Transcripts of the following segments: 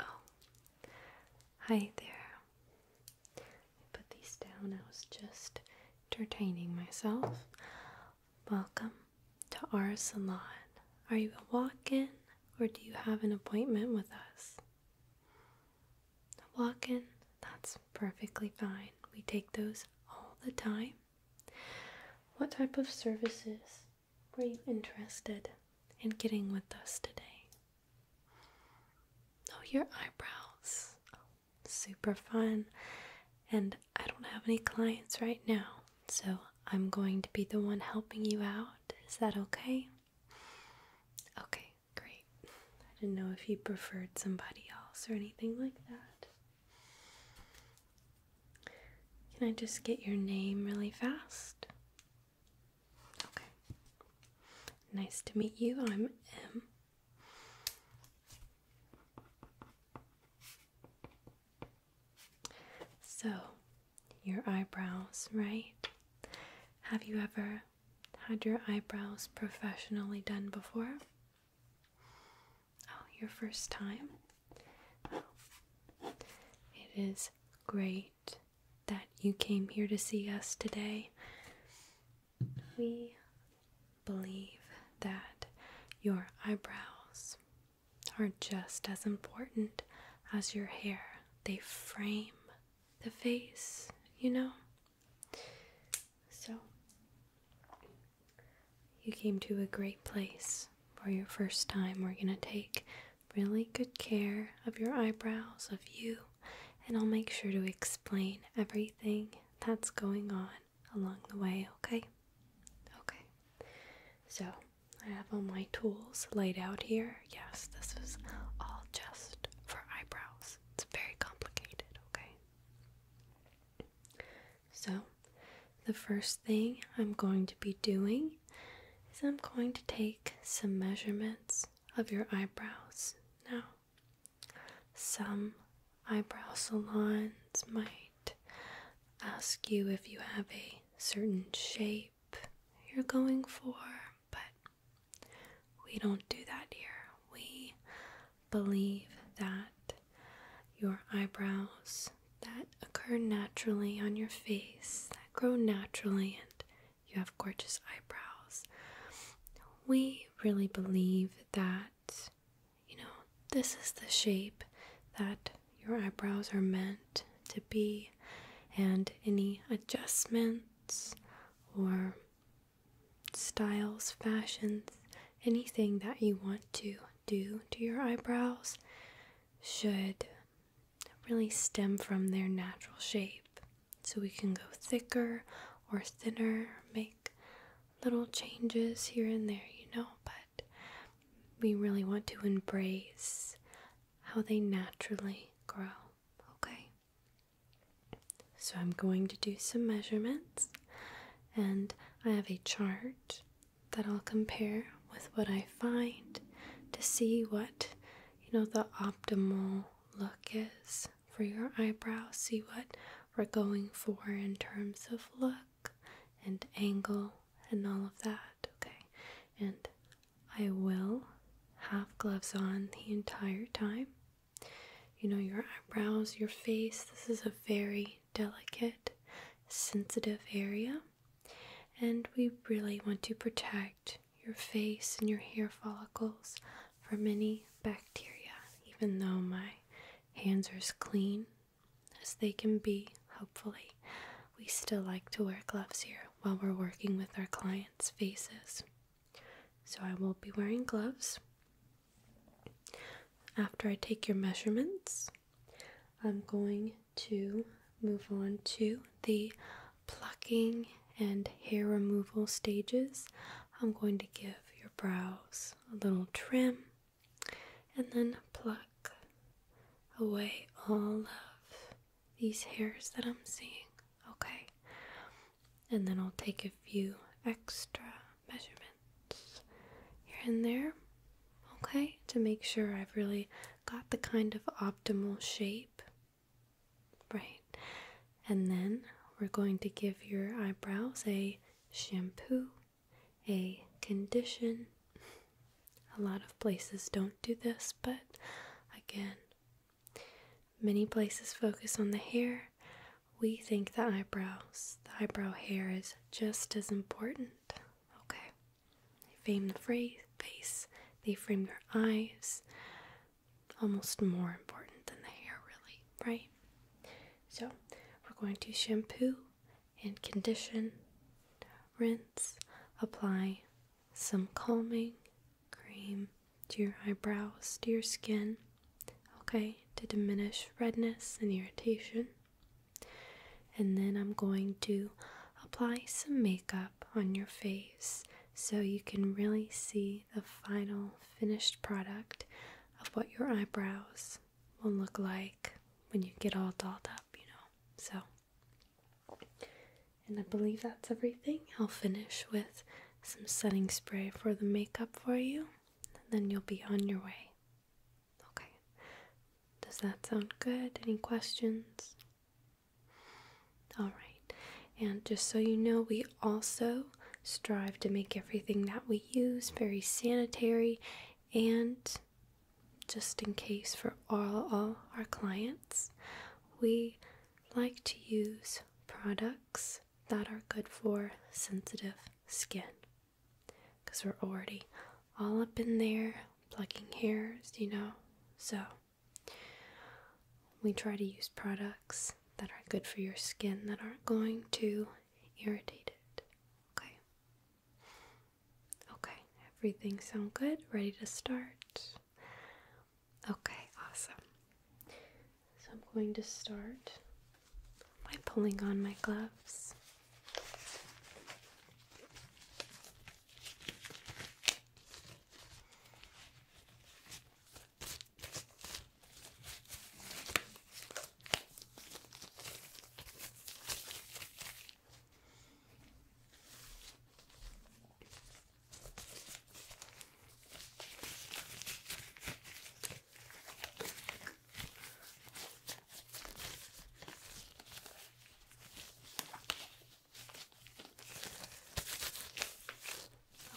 Oh. hi there. I put these down. I was just entertaining myself. Welcome to our salon. Are you a walk in or do you have an appointment with us? A walk in, that's perfectly fine. We take those all the time. What type of services were you interested in getting with us today? Oh, your eyebrows. super fun. And I don't have any clients right now, so I'm going to be the one helping you out. Is that okay? Okay, great. I didn't know if you preferred somebody else or anything like that. Can I just get your name really fast? Okay. Nice to meet you. I'm M. So, your eyebrows, right? Have you ever had your eyebrows professionally done before? Oh, your first time? Oh. it is great that you came here to see us today. We believe that your eyebrows are just as important as your hair. They frame the face, you know? So, you came to a great place for your first time. We're going to take really good care of your eyebrows, of you, and I'll make sure to explain everything that's going on along the way, okay? Okay. So, I have all my tools laid out here. Yes, this is all just for eyebrows. It's very complicated, okay? So, the first thing I'm going to be doing is I'm going to take some measurements of your eyebrows. Now, some eyebrow salons might ask you if you have a certain shape you're going for, but we don't do that here. We believe that your eyebrows that occur naturally on your face, that grow naturally, and you have gorgeous eyebrows. We really believe that, you know, this is the shape that your eyebrows are meant to be, and any adjustments or styles, fashions, anything that you want to do to your eyebrows should really stem from their natural shape. So we can go thicker or thinner, make little changes here and there, you know, but we really want to embrace how they naturally grow, okay? So I'm going to do some measurements and I have a chart that I'll compare with what I find to see what you know the optimal look is for your eyebrows, see what we're going for in terms of look and angle and all of that, okay? And I will have gloves on the entire time. You know, your eyebrows, your face, this is a very delicate, sensitive area, and we really want to protect your face and your hair follicles from any bacteria. Even though my hands are as clean as they can be, hopefully, we still like to wear gloves here while we're working with our clients' faces. So I will be wearing gloves. After I take your measurements, I'm going to move on to the plucking and hair removal stages. I'm going to give your brows a little trim and then pluck away all of these hairs that I'm seeing, okay? And then I'll take a few extra measurements here and there, okay, to make sure I've really got the kind of optimal shape. Right, and then we're going to give your eyebrows a shampoo, a condition. A lot of places don't do this, but again, many places focus on the hair, we think the eyebrows, the eyebrow hair is just as important. Okay. They frame the face, they frame your eyes. Almost more important than the hair, really, right? So, we're going to shampoo and condition, rinse, apply some calming cream to your eyebrows, to your skin okay, to diminish redness and irritation. And then I'm going to apply some makeup on your face so you can really see the final finished product of what your eyebrows will look like when you get all dolled up, you know. So, and I believe that's everything. I'll finish with some setting spray for the makeup for you, and then you'll be on your way. Okay. Does that sound good? Any questions? All right. And just so you know, we also strive to make everything that we use very sanitary and just in case for all, all our clients, we like to use products that are good for sensitive skin because we're already all up in there plucking hairs, you know. So, we try to use products that are good for your skin that aren't going to irritate it. Okay. Okay, everything sound good? Ready to start? Okay, awesome. So, I'm going to start by pulling on my gloves.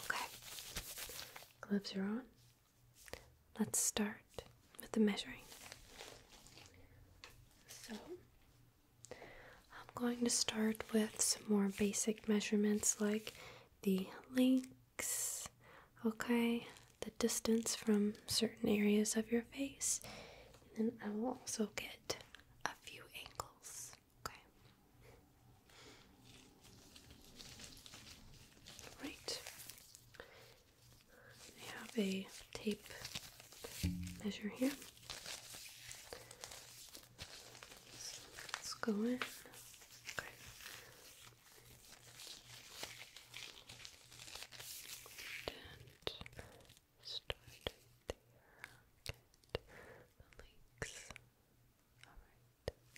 Okay, gloves are on. Let's start with the measuring. So, I'm going to start with some more basic measurements like the length okay? The distance from certain areas of your face. And I will also get a few angles, okay? Right. I have a tape measure here. let's go in. Okay. And start right there. Get the links. Alright,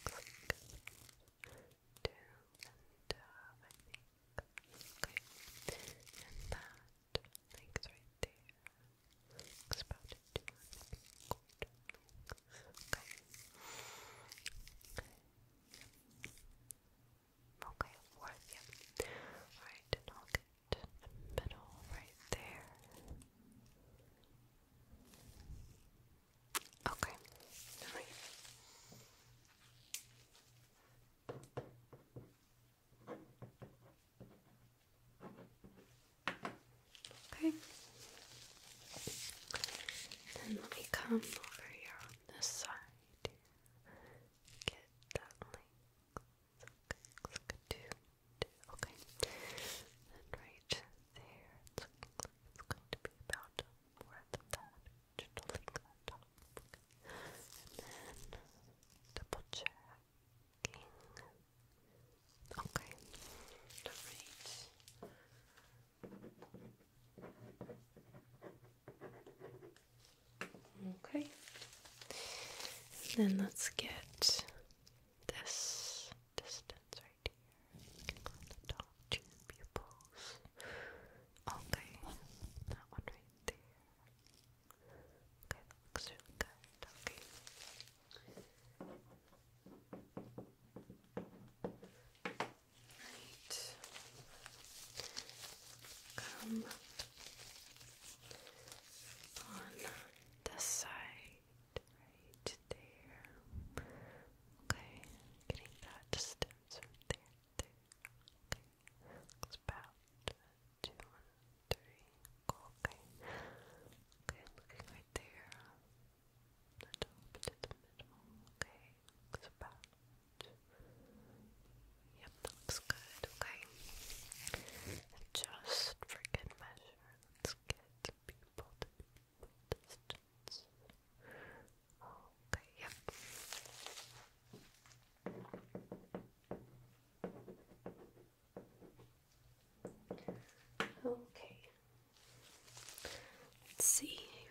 click to and uh, I think. Okay. And that links right there. Links about it to maybe quarter links. Okay. Okay. Okay, fourth, yeah. Alright, and I'll get the middle right there. Okay, alright. Okay. Then let come over here, the side. Get that length. It's like a two, Okay. And right there, it's going to be about a fourth that. Just a length on top. And then double checking. Okay. Alright. Okay. then let's get this distance right here. top two pupils. Okay. That one right there. Okay, that looks really good. Okay. Right. Come on this side, right there. Okay, getting that distance from there, Okay, looks about two, one, three. Okay, okay, looking right there. Not over to the middle. Okay, looks about. Yep, looks good. Okay. just for good measure, let's get people distance. Okay, yep. Okay. Let's see here.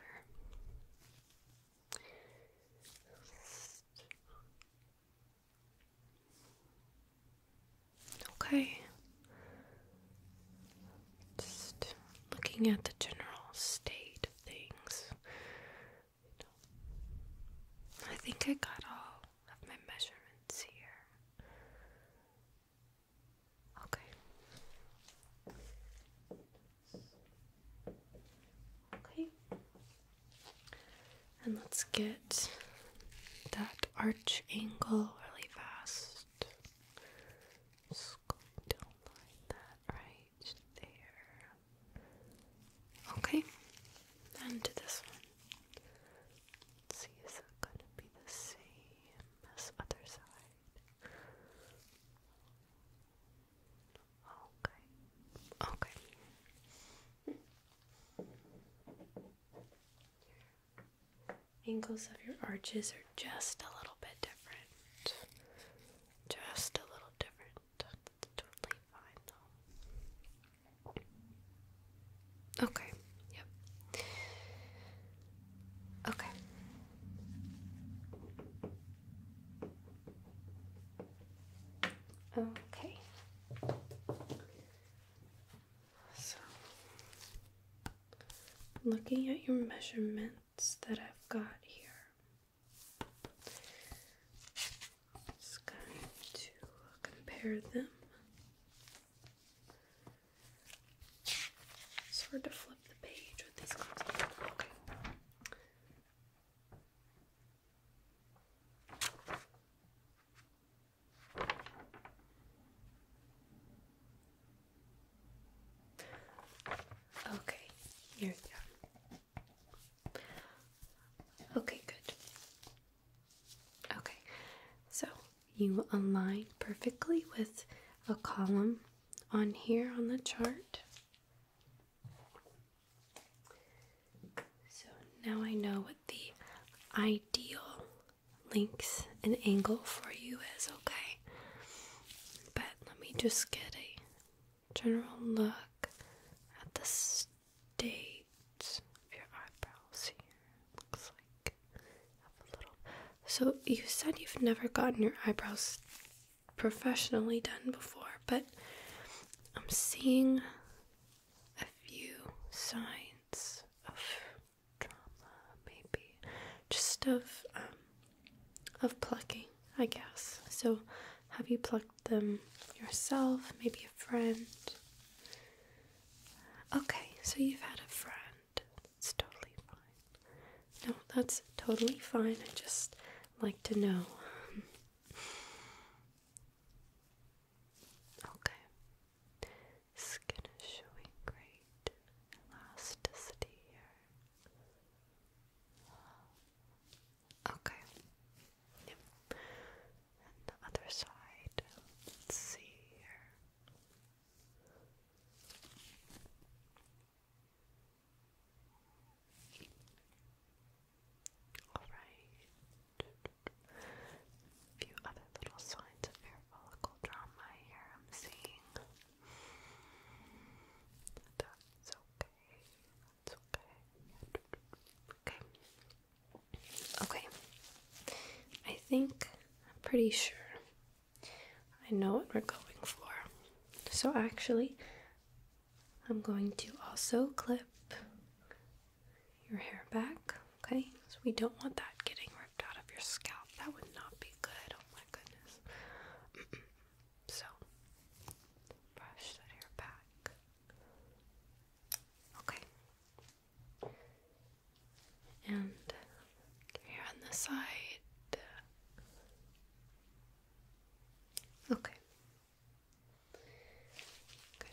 Okay. looking at the general state of things. I think I got all of my measurements here. Okay. Okay. And let's get that arch angle really fast. Just going to line that right there. Okay. And to this one. see, is that going to be the same as other side? Okay. Okay. angles of your arches are just a little bit different. Just a little different. That's totally fine Okay. Yep. Okay. Okay. So, looking at your measurements that I've got here, just going to compare them. Sort of flip Okay. Okay, here we go. Okay, good. Okay, so you align perfectly with a column on here on the chart. So now I know what the ideal length and angle for you is, okay? But let me just get a general look at the state of your eyebrows here. Looks like a little. So you said you've never gotten your eyebrows professionally done before, but I'm seeing a few signs of trauma, maybe just of um, of plucking, I guess. So, have you plucked them yourself? Maybe a friend? Okay, so you've had a friend. It's totally fine. No, that's totally fine. I just like to know. okay. Skin is showing great elasticity here. Okay. Yep. And the other side. Let's see here. Alright. A few other little signs of hair follicle here I'm seeing. That's okay. That's okay. Okay. Okay. I think I'm pretty sure I know what we're going for. So actually, I'm going to also clip your hair back, okay? So we don't want that getting ripped out of your scalp. That would not be good. Oh my goodness. so, brush that hair back. Okay. And here on the side. Okay.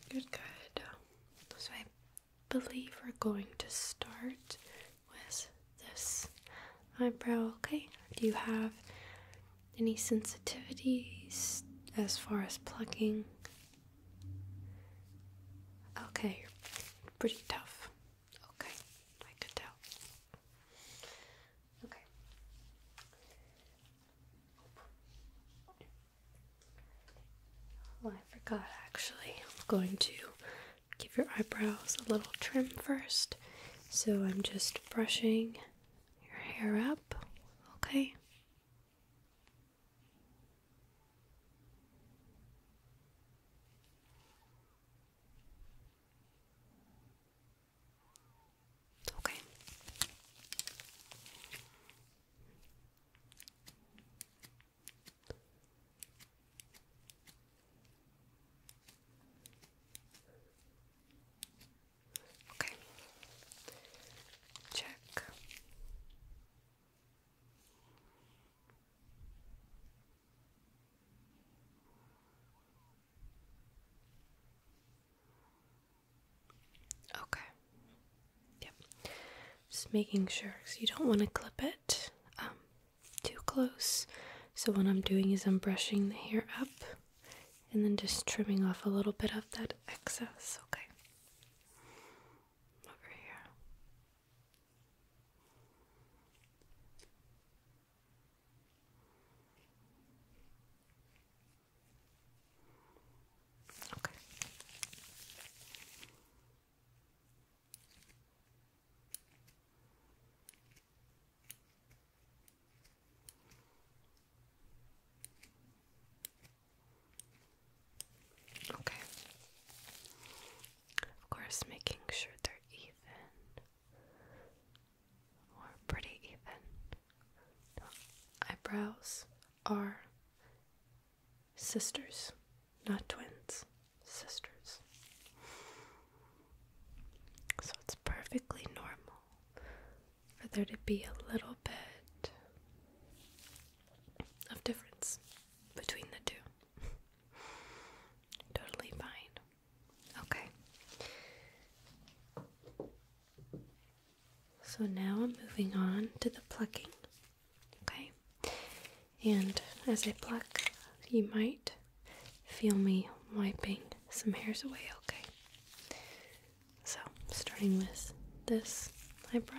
Good, good, good. So I believe we're going to start with this eyebrow. Okay. Do you have any sensitivities as far as plucking? Okay, you're pretty tough. Okay, I could tell. Okay. Well, oh, I forgot actually. I'm going to give your eyebrows a little trim first. So I'm just brushing your hair up, okay? Okay. Okay. Check. Okay. Yep. Just making sure because you don't want to clip it um, too close. So, what I'm doing is I'm brushing the hair up and then just trimming off a little bit of that excess. Okay. Over here. Okay. Okay. Of course, making sure they're even or pretty even. eyebrows are sisters, not twins, sisters. So it's perfectly normal for there to be a little bit of difference between the two. totally fine. Okay. So now I'm moving on to the plucking. Okay. And as I pluck, you might feel me wiping some hairs away, okay? So, starting with this eyebrow.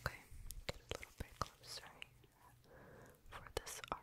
Okay, get a little bit closer for this arm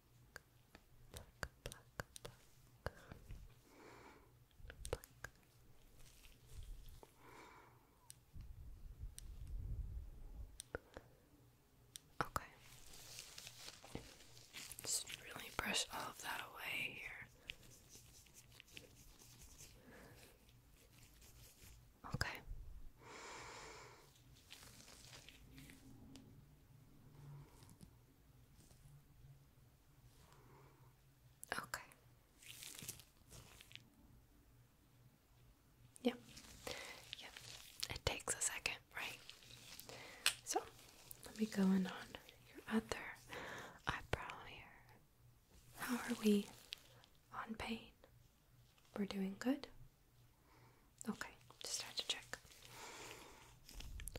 pluck, pluck, pluck. really brush all of that away here. Okay. Okay. Yep. Yep. It takes a second, right? So let me go in on your other eyebrow here. How are we on pain? We're doing good. Okay, just have to check.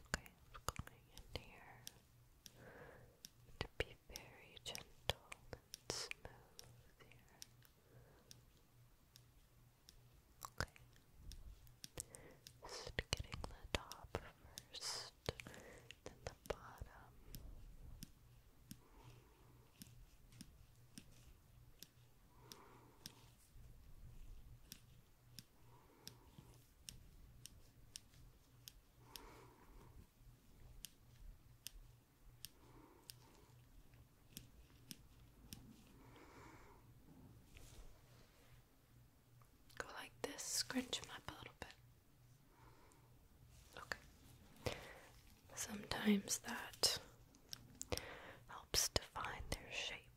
Okay, going in here to be very gentle and smooth here. Okay. Just getting the top first, then the bottom. Go like this, scrunch them up a little bit. Okay. Sometimes that helps define their shape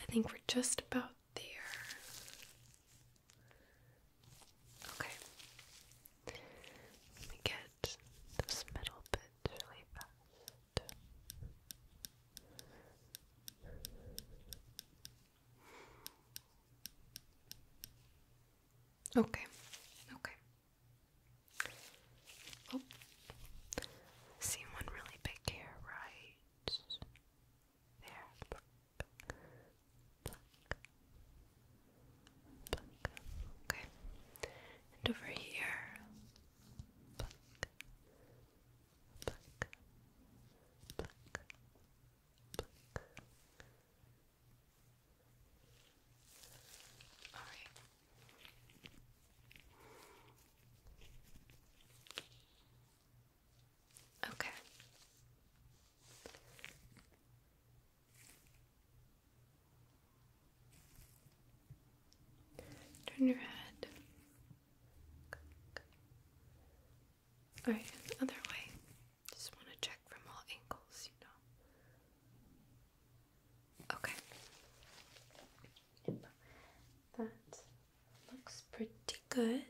I think we're just about there. Okay. Let me get this middle bit really fast. Okay, okay. Oh, see one really big hair right there. Okay, and over here, All right. Okay. Turn your head. All right, other way. Just want to check from all angles, you know. Okay. Yep. That Looks pretty good.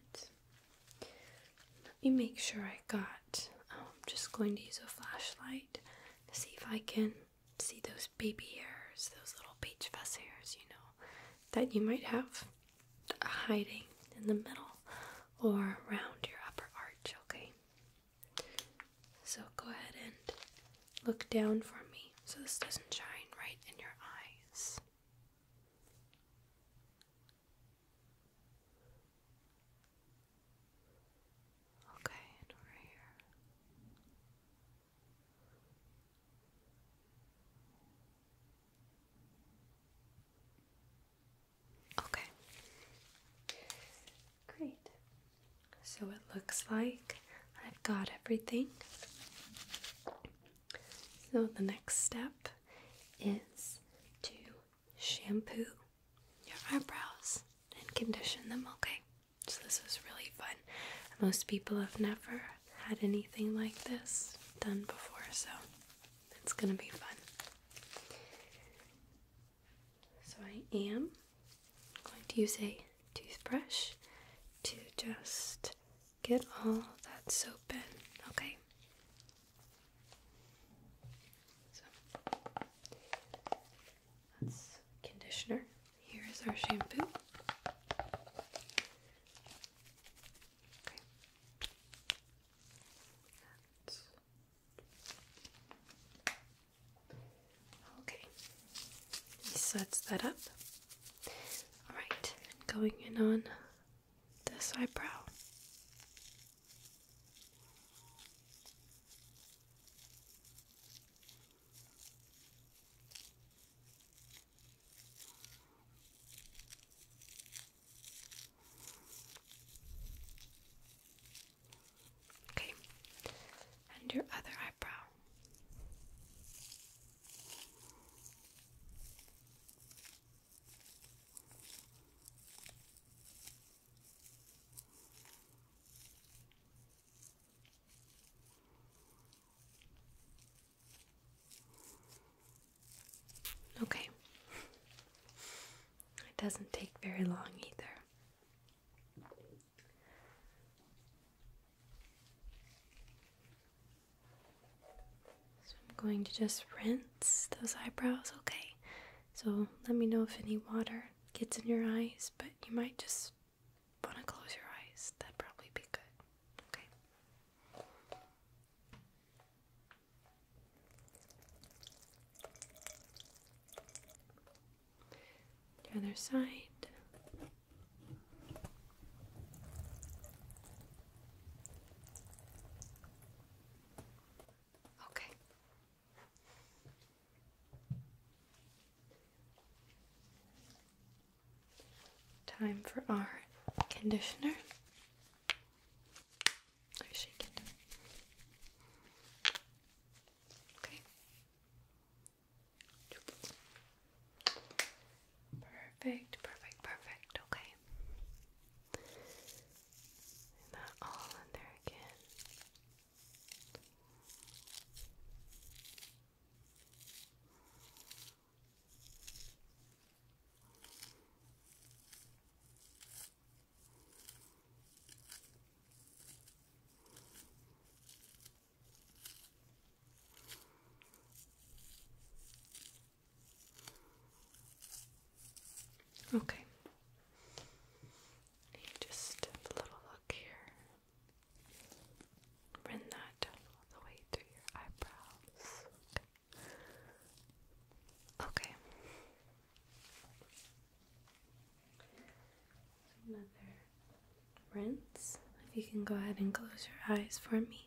Let me make sure I got. Oh, I'm just going to use a flashlight to see if I can see those baby hairs, those little peach fuzz hairs, you know, that you might have hiding in the middle or around your upper arch, okay? So go ahead and look down for me so this doesn't shine right in your eyes. Okay, we're here. Okay. Great. So it looks like I've got everything. So the next step is to shampoo your eyebrows and condition them, okay? So this is really fun. Most people have never had anything like this done before, so it's gonna be fun. So I am going to use a toothbrush to just get all that soap in, okay? that's conditioner. Here is our shampoo. Okay. sets that up. All right, going in on this eyebrow. Okay, and your other eyebrow. Okay. It doesn't take very long either. So I'm going to just rinse those eyebrows, okay? So let me know if any water gets in your eyes, but you might just want to close your eyes. That'd probably be good. Okay. The other side. Okay. Time for our conditioner. I shake it. Okay. Perfect, perfect, perfect. Okay. And all in there again. Okay. Just a little look here. Bring that all the way to your eyebrows. Okay. Another rinse. If you can go ahead and close your eyes for me.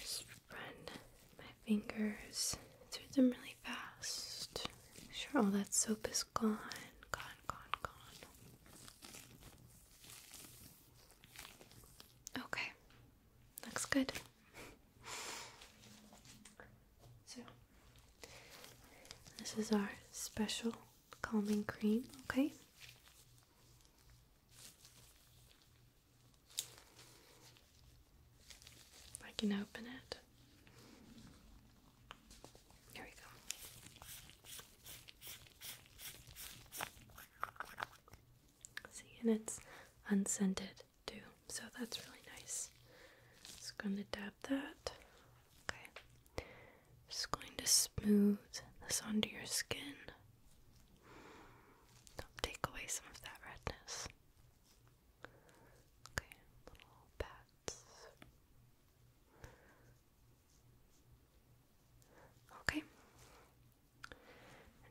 Just run my fingers through them really fast. Make sure all that soap is gone. Gone, gone, gone. Okay. Looks good. So, this is our special calming cream, okay? I can open it. Here we go. See, and it's unscented too, so that's really nice. Just going to dab that Okay. Just going to smooth this onto your skin. take away some of that redness. Okay, little pats. Okay.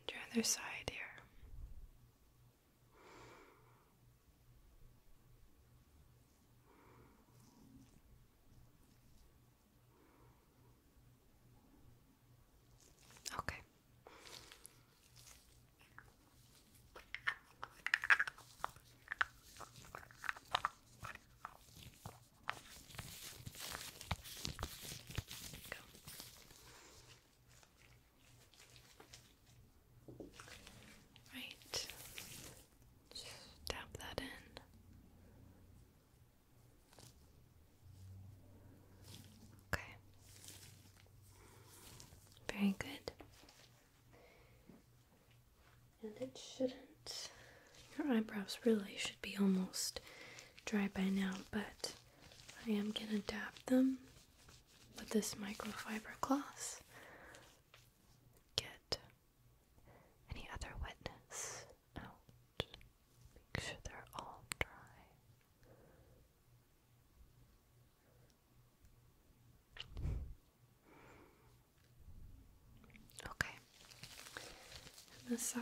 your other side here. Okay. Right. Just tap that in. Okay. Very good. And it shouldn't. Your eyebrows really should be almost dry by now, but I am going to dab them with this microfiber cloth. Get any other wetness out. Make sure they're all dry. Okay. And the side.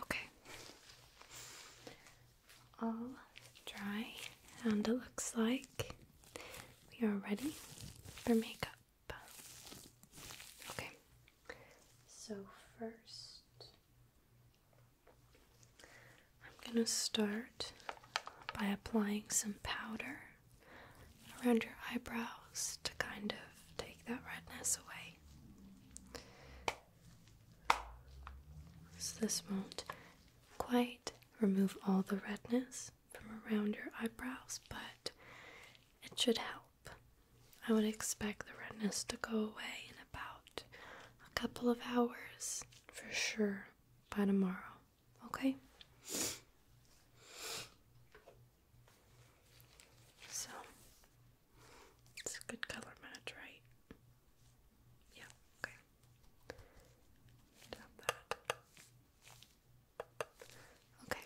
Okay. All dry, and it looks like we are ready for makeup. Okay. So, first, I'm going to start by applying some powder around your eyebrows to kind of take that redness away. So this won't quite remove all the redness from around your eyebrows, but it should help. I would expect the redness to go away in about a couple of hours for sure by tomorrow, okay? So it's a good color match, right? Yeah, okay. Tap that. Okay.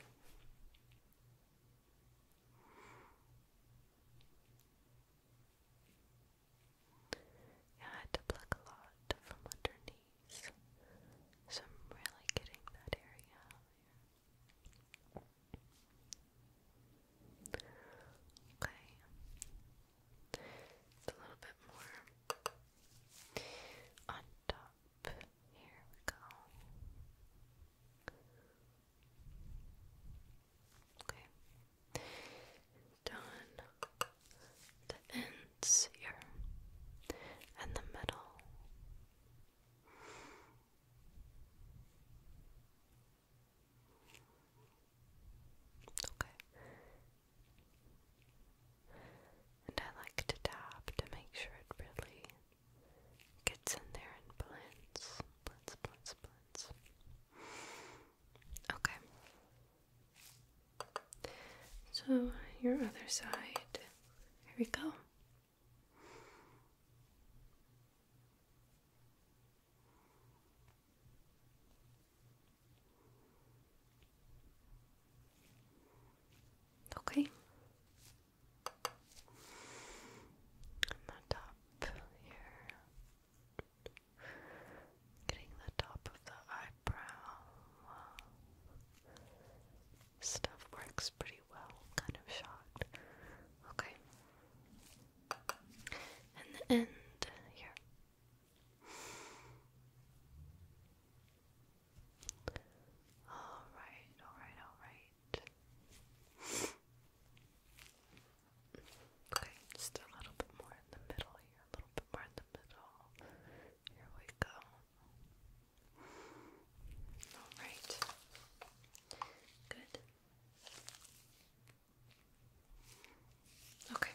Yeah, I had a lot from underneath, so I'm really getting that area Okay. It's a little bit more on top. Here we go. Okay. Done the ends here and the middle. Okay. And I like to tap to make sure it really gets in there and blends. Blends, blends, blends. Okay. So, your other side. Here we go. Okay. Getting the top of the eyebrow stuff works pretty well. Kind of shocked. Okay. And the end here. Alright, alright, alright. Okay, just a little bit more in the middle here, a little bit more in the middle. Here we go. All right. Good. Okay.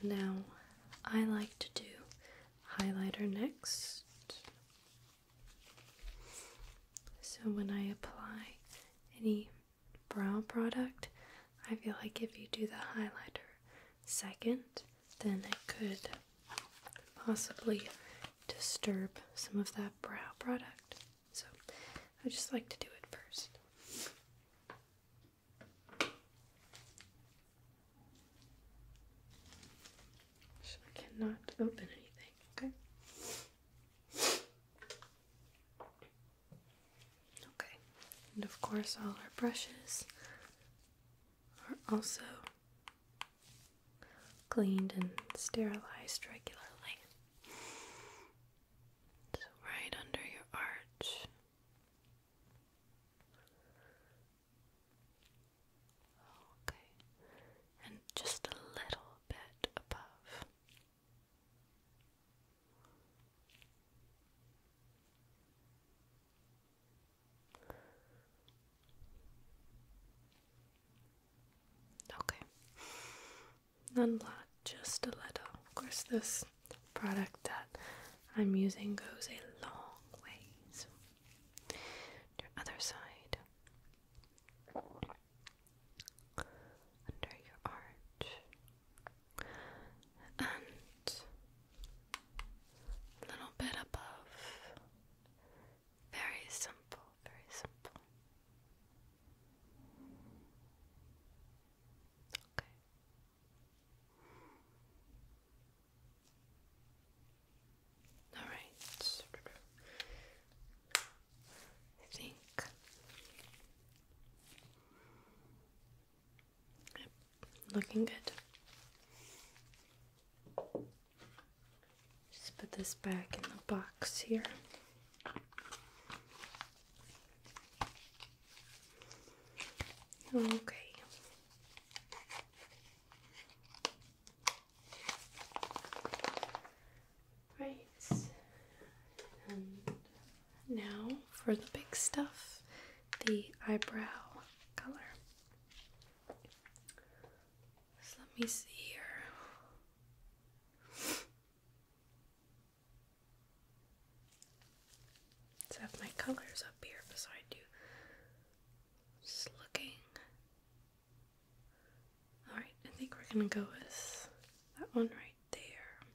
And now I like to do highlighter next. So when I apply any brow product, I feel like if you do the highlighter second, then it could possibly disturb some of that brow product. So I just like to do it first. I cannot open anything, okay? Okay, and of course, all our brushes are also cleaned and sterilized regularly. So, right under your arch. Okay, and just a little bit above. Okay. Unblock just a little. Of course, this product that I'm using goes a long ways. Your other side under your arch and a little bit above. Very simple, very simple. Okay. All right. I think. looking good. Just put this back in the box here. Okay. Right. And now for the big stuff, the eyebrow color. So let me see here. Let's have my colors up here so I just looking. Alright, I think we're gonna go with that one right there.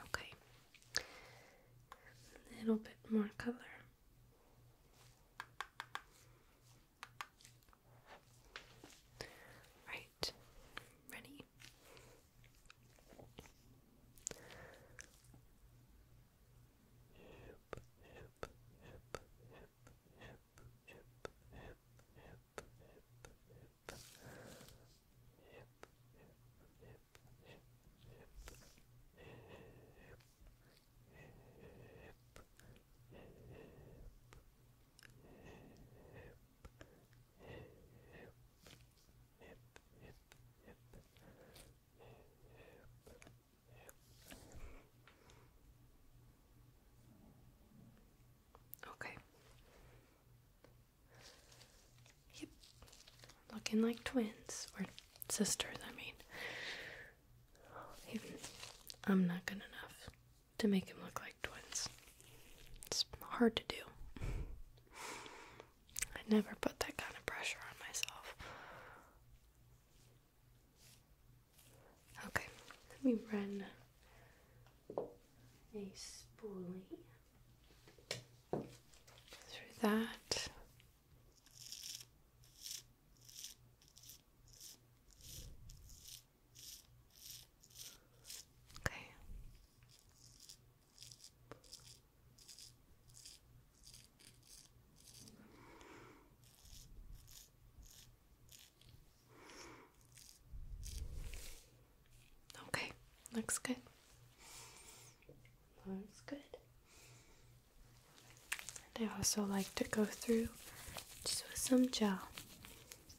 Okay, a little bit more color. Right, ready? Okay. Yep. Looking like twins or sisters, I mean. I'm not good enough to make him look like twins. It's hard to do. I never put that kind of pressure on myself. Okay, let me run a spoolie through that. Okay. Okay, looks good. Looks good. And I also like to go through just with some gel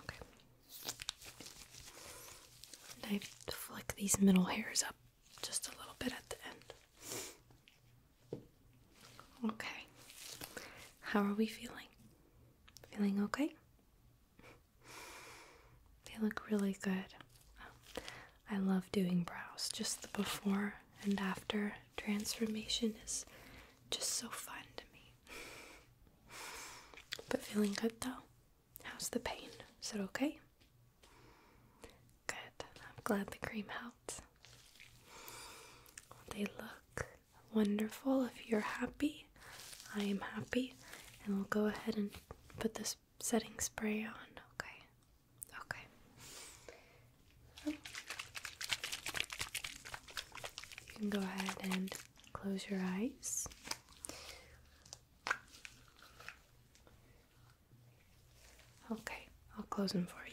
Okay. I flick these middle hairs up just a little bit at the end. Okay. How are we feeling? Feeling okay? They look really good. I love doing brows. Just the before and after transformation is just so fun to me. But feeling good though? How's the pain? Is it okay? Good. I'm glad the cream helped. They look wonderful. If you're happy, I am happy. And we'll go ahead and put this setting spray on, okay? Okay. You can go ahead and Close your eyes. Okay, I'll close them for you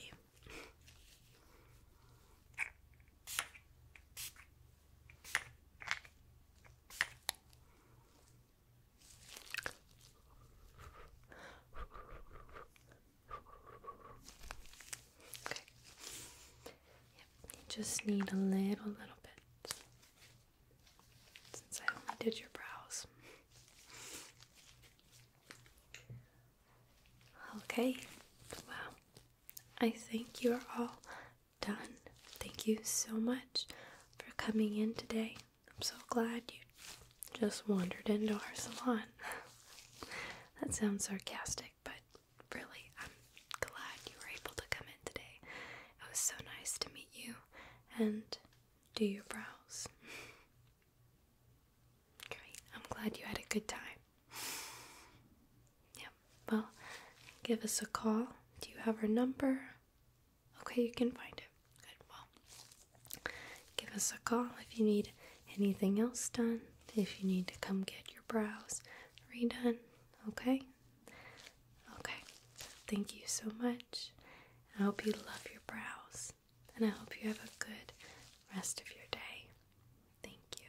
you just need a little, little bit. Since I only did your brows. Okay, well, I think you are all done. Thank you so much for coming in today. I'm so glad you just wandered into our salon. that sounds sarcastic, but really, I'm glad you were able to come in today. It was so nice to meet you and do your brows. Great, I'm glad you had a good time. Yep, well, give us a call. Do you have our number? Okay, you can find it. Good, well, give us a call if you need anything else done, if you need to come get your brows redone. Okay? Okay. Thank you so much. I hope you love your brows. And I hope you have a good rest of your day. Thank you.